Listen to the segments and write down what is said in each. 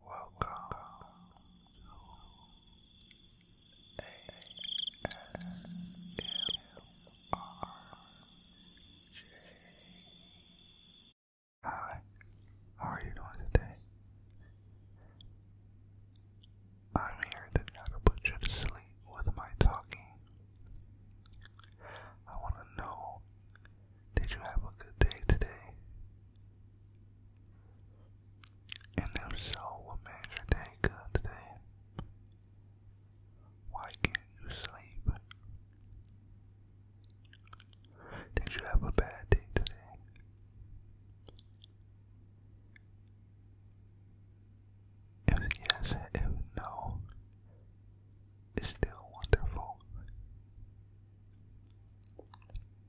Welcome Hi, how are you doing today? I'm here to try to put you to sleep with my talking. I want to know, did you have a good day today? And if so, what made your day good today? Why can't you sleep? Did you have a bad day today? If yes, if no, it's still wonderful.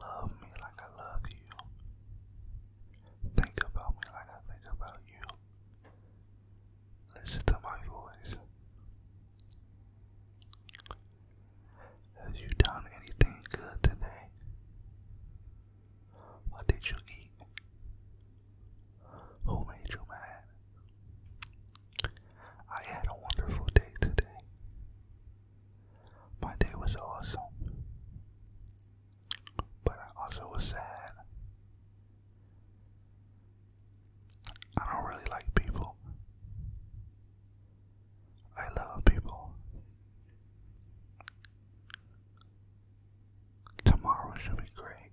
Love me like I love you. Think about me like I think about you. Listen to my voice. Have you done anything good today? What did you eat? Who made you mad? I had a wonderful day today. My day was awesome. But I also was sad. I don't really like people. I love people. Tomorrow should be great.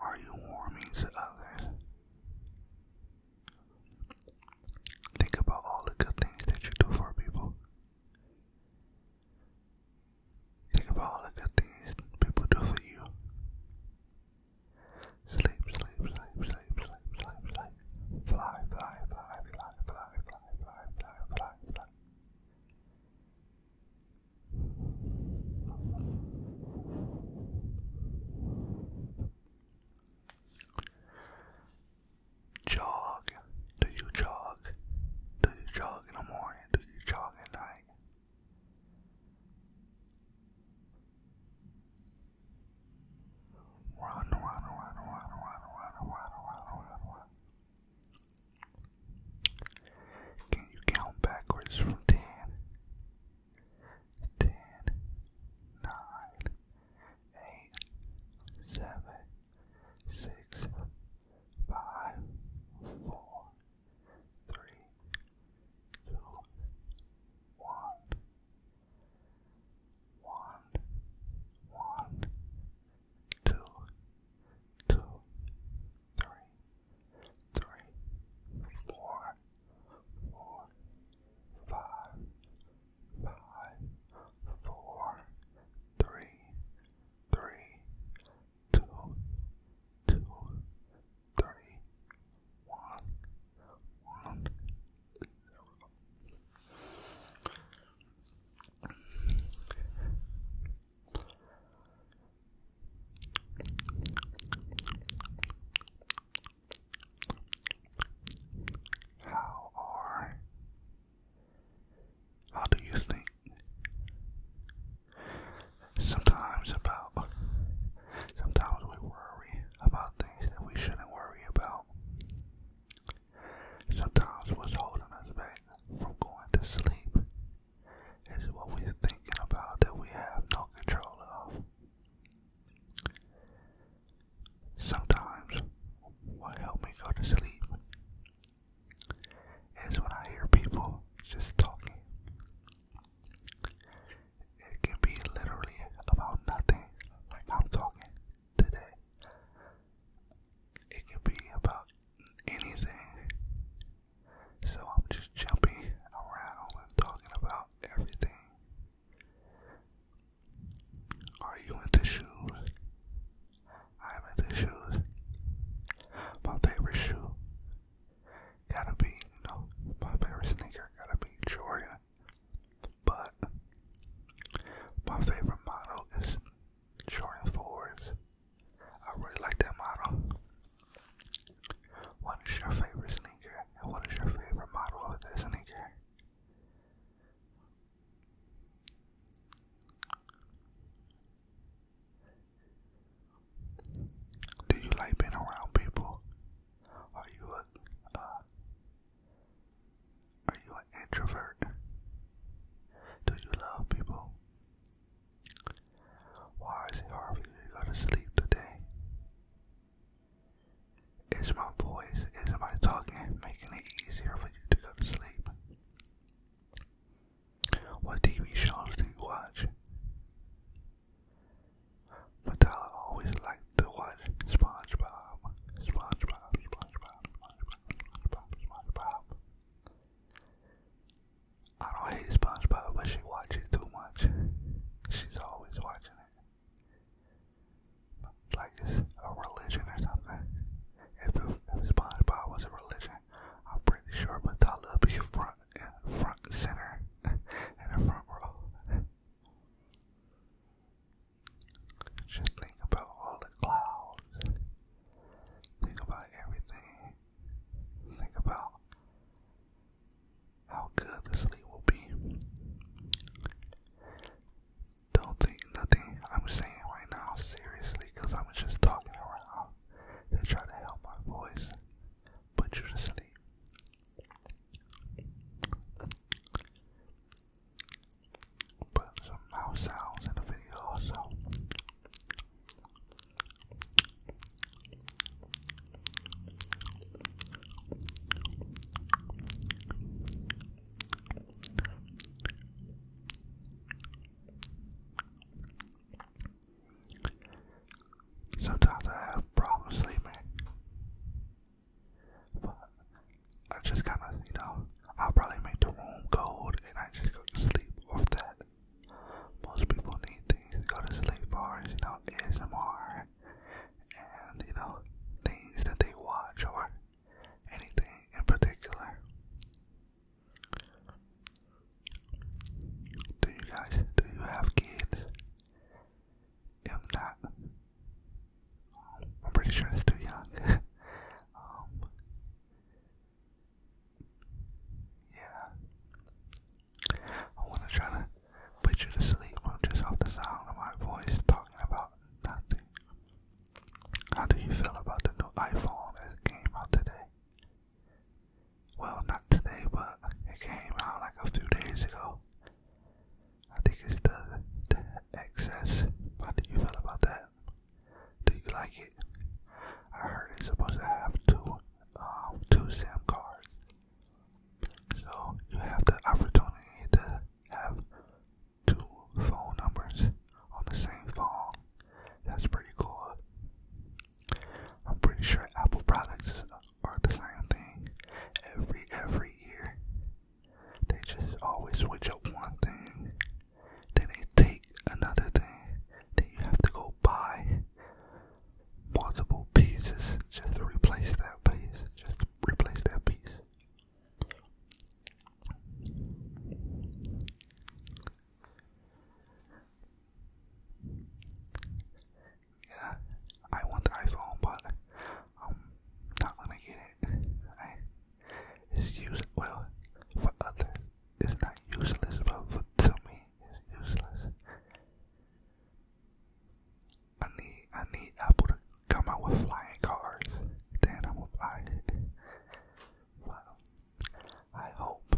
Are you warming to others? Think about all the good things that you do for people. Think about all the good things people do for you. Sleep, sleep, sleep, sleep, sleep, sleep, sleep. Fly, fly, fly, fly, fly, fly, fly, fly, fly, fly. Jog. Do you jog? Do you jog in the morning? Do you jog at night? Run, run, run, run, run, run, run, run, run, run, can you count backwards from ten? Ten, nine, eight, seven, six, five, four, three, two, one, one, one, two, two, three, three, four, four, five, five, four, three, three, two, two, three, one, one, zero. How are how do you think sometimes about sometimes we worry about things that we shouldn't worry about. Sometimes what's holding us back from going to sleep is what we're thinking about that we have no control of. Sometimes, what helps me go to sleep is when I hear people just talking. It can be literally about nothing, like I'm talking today. It can be about anything. So I'm just jumping around and talking about everything. Are you into shoes? I'm into shoes. My favorite shoe gotta be, you my favorite sneaker gotta be Jordan. But my favorite model is Jordan 4s. I really like that model. What is your favorite sneaker? And what is your favorite model of this sneaker? Do you like being around people? Are you a uh, are you an introvert? Do you love people? Why is it hard for you to go to sleep today? Is my voice, is my talking making it easier for you to go to sleep? What TV shows do you watch? But I always like to watch SpongeBob. SpongeBob, SpongeBob, SpongeBob, SpongeBob, SpongeBob. I don't hate SpongeBob, but she watches it too much. She's always watching it. Like it's a religion or something. If, if SpongeBob was a religion, I'm pretty sure Matala would be front, front center in the front row. Just think about all the clouds Think about everything. Think about how good the sleep will be. Don't think nothing I'm saying right now seriously, cause I'm just talking around to try to help my voice put you to sleep put some mouth sounds in the video also. Sometimes I have problems sleeping, but I just kind of, you know, I'll probably make the room cold and I just go to sleep off that. Most people need things to go to sleep bars, you know, S M R, and, you know, things that they watch or anything in particular. Do you guys, do you have kids? If not, I'm pretty sure it's too young. Um, yeah. I want to try to put you to sleep just off the sound of my voice talking about nothing. How do you feel about the new iPhone that came out today? Well, not today, but it came out like a few days ago. I think it's the, the excess. How do you feel about that? Do you like it? I heard it's supposed to have two, um, two SIM cards. So you have the opportunity to have two phone numbers on the same phone. That's pretty cool. I'm pretty sure Apple products are the same thing every every year. They just always switch up one thing, then they take another thing, then you have to go buy multiple pieces just replace that piece, just replace that piece. Yeah, I want iPhone, but I'm not gonna get it is use well for others. It's not useless, but for to me, it's useless. I need I need Apple to come out with flying cars. Then I'm gonna I hope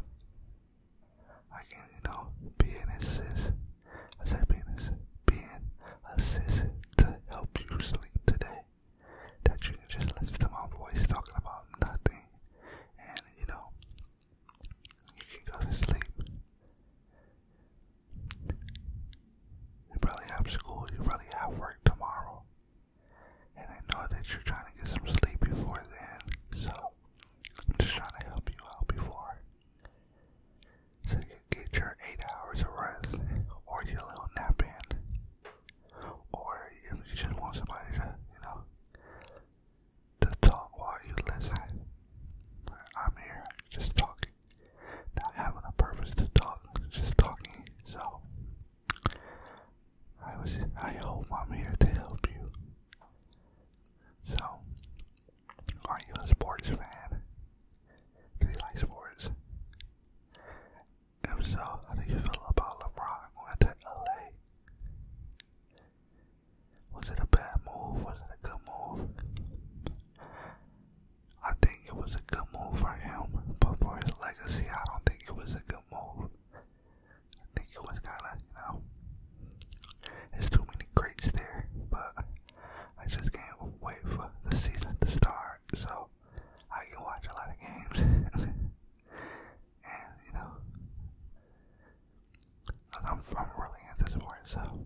I can, you know, be an assist. I said be an assist, being assist to help you sleep today that you can just listen to my voice talking about nothing, and you know, you can go to sleep. You probably have school, you probably have work tomorrow, and I know that you're trying to get some sleep before then, so I'm just trying to help you out before so you get your eight hours of rest or your little nap in. Or if you just want somebody to, you know, to talk while you listen. I'm here just talking. Not having a purpose to talk, just talking. So I was I hope I'm here to help you. So are you a sports fan? Do you like sports? If so, how do you feel about LeBron going to LA? Was it a bad move? Was it a good move? I think it was a good move for him, but for his legacy, I don't think it was a good move. I think it was kind of, you know, there's too many greats there, but I just can't wait for the season to start so I can watch a lot of games. and, you know, I'm, from am really into sports, so.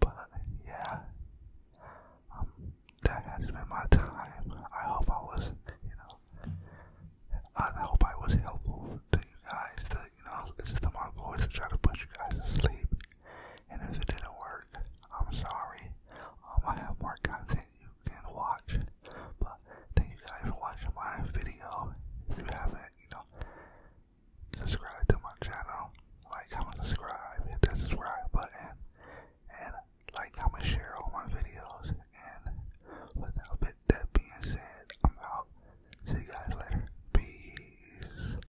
But, yeah. Um, that has been my time. I hope I was, you know, I hope I was helpful to you guys to, you know, listen to my voice and try to put you guys to sleep. And if it didn't work, I'm sorry. I'm um, gonna have more content you can watch. But thank you guys for watching my video. If you haven't, you know, subscribe to my channel. Like, comment, subscribe, hit that subscribe button. And like, I'm gonna share all my videos. And without that being said, I'm out. See you guys later. Peace.